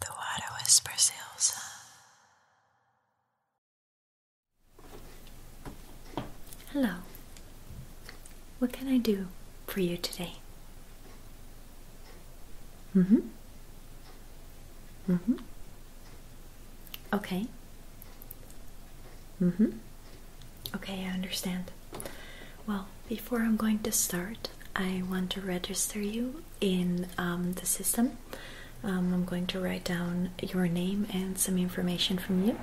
The water whispers, Elsa. Hello. What can I do for you today? Mm-hmm. Mm-hmm. Okay. Mm-hmm. Okay, I understand. Well, before I'm going to start, I want to register you in um, the system. Um, I'm going to write down your name and some information from you.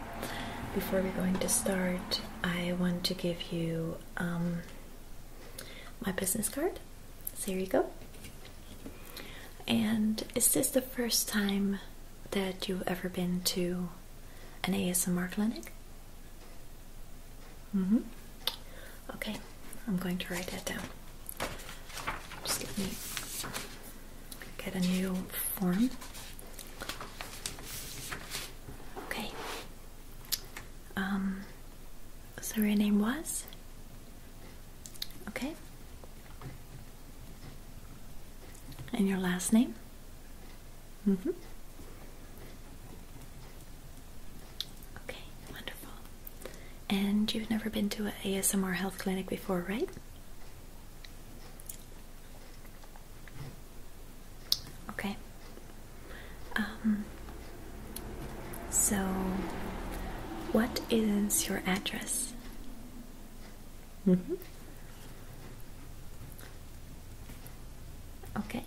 Before we're going to start, I want to give you um, my business card. So here you go. And is this the first time that you've ever been to an ASMR clinic? Mm -hmm. Okay, I'm going to write that down. Just get me get a new form. Okay. Um, so your name was? Okay. And your last name? Mm-hmm. Okay, wonderful. And you've never been to an ASMR health clinic before, right? Okay. Um, so, what is your address? Mm-hmm. Okay.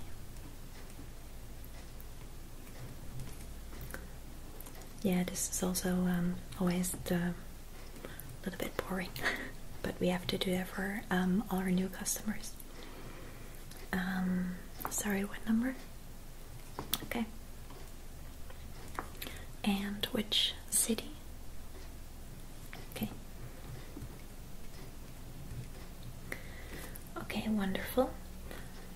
Yeah, this is also um, always a little bit boring, but we have to do that for um, all our new customers. Um, sorry, what number? Okay. And which city? Okay. Okay, wonderful.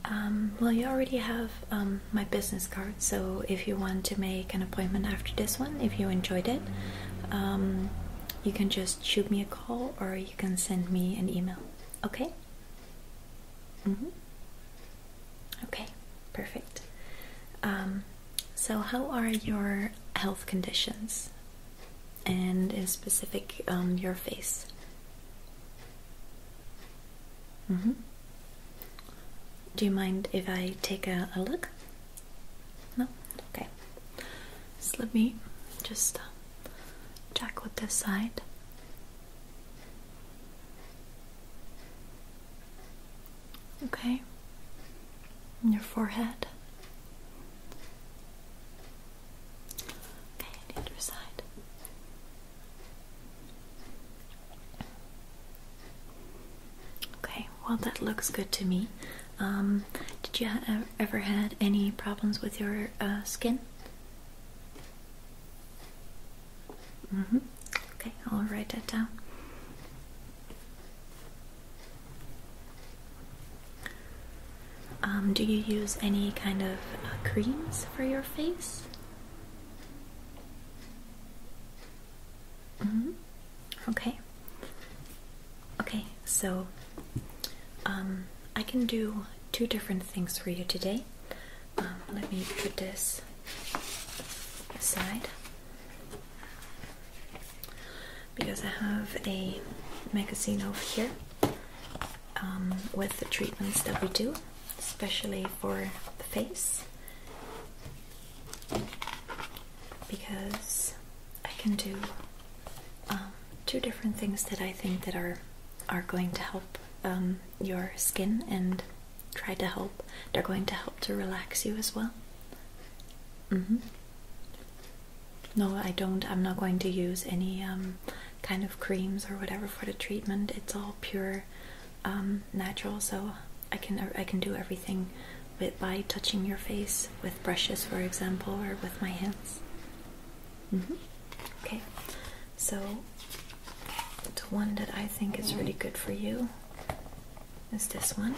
Um, well, you already have um, my business card, so if you want to make an appointment after this one, if you enjoyed it, um, you can just shoot me a call or you can send me an email. Okay? Mm-hmm. Okay, perfect. So, how are your health conditions? And in specific, um, your face? Mm-hmm. Do you mind if I take a, look? No? Okay. let me just uh, check with this side. Okay. And your forehead. Okay, and either side. Okay, well that looks good to me. Um, did you ever had any problems with your uh, skin? hmm Okay, I'll write that down. Um, do you use any kind of uh, creams for your face? -hmm. Okay. Okay, so um, I can do two different things for you today. Um, let me put this aside because I have a magazine over here um, with the treatments that we do, especially for the face. Because I can do um, two different things that I think that are are going to help um, your skin and try to help. They're going to help to relax you as well. Mm-hmm. No, I don't. I'm not going to use any um, kind of creams or whatever for the treatment. It's all pure, um, natural. So I can uh, I can do everything with by touching your face with brushes, for example, or with my hands. Mm-hmm. Okay. So the one that I think is really good for you is this one.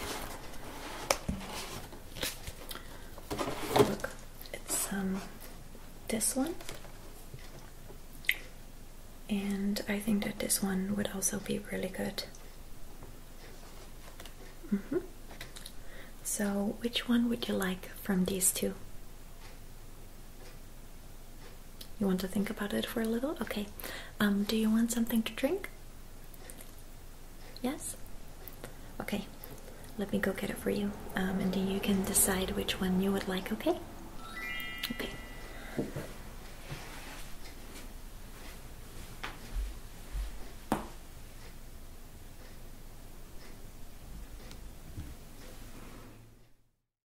Look, it's um this one. And I think that this one would also be really good. -hmm. So, which one would you like from these two? You want to think about it for a little? Okay. Um, do you want something to drink? Yes? Okay. Let me go get it for you. Um, and then you can decide which one you would like, okay? Okay.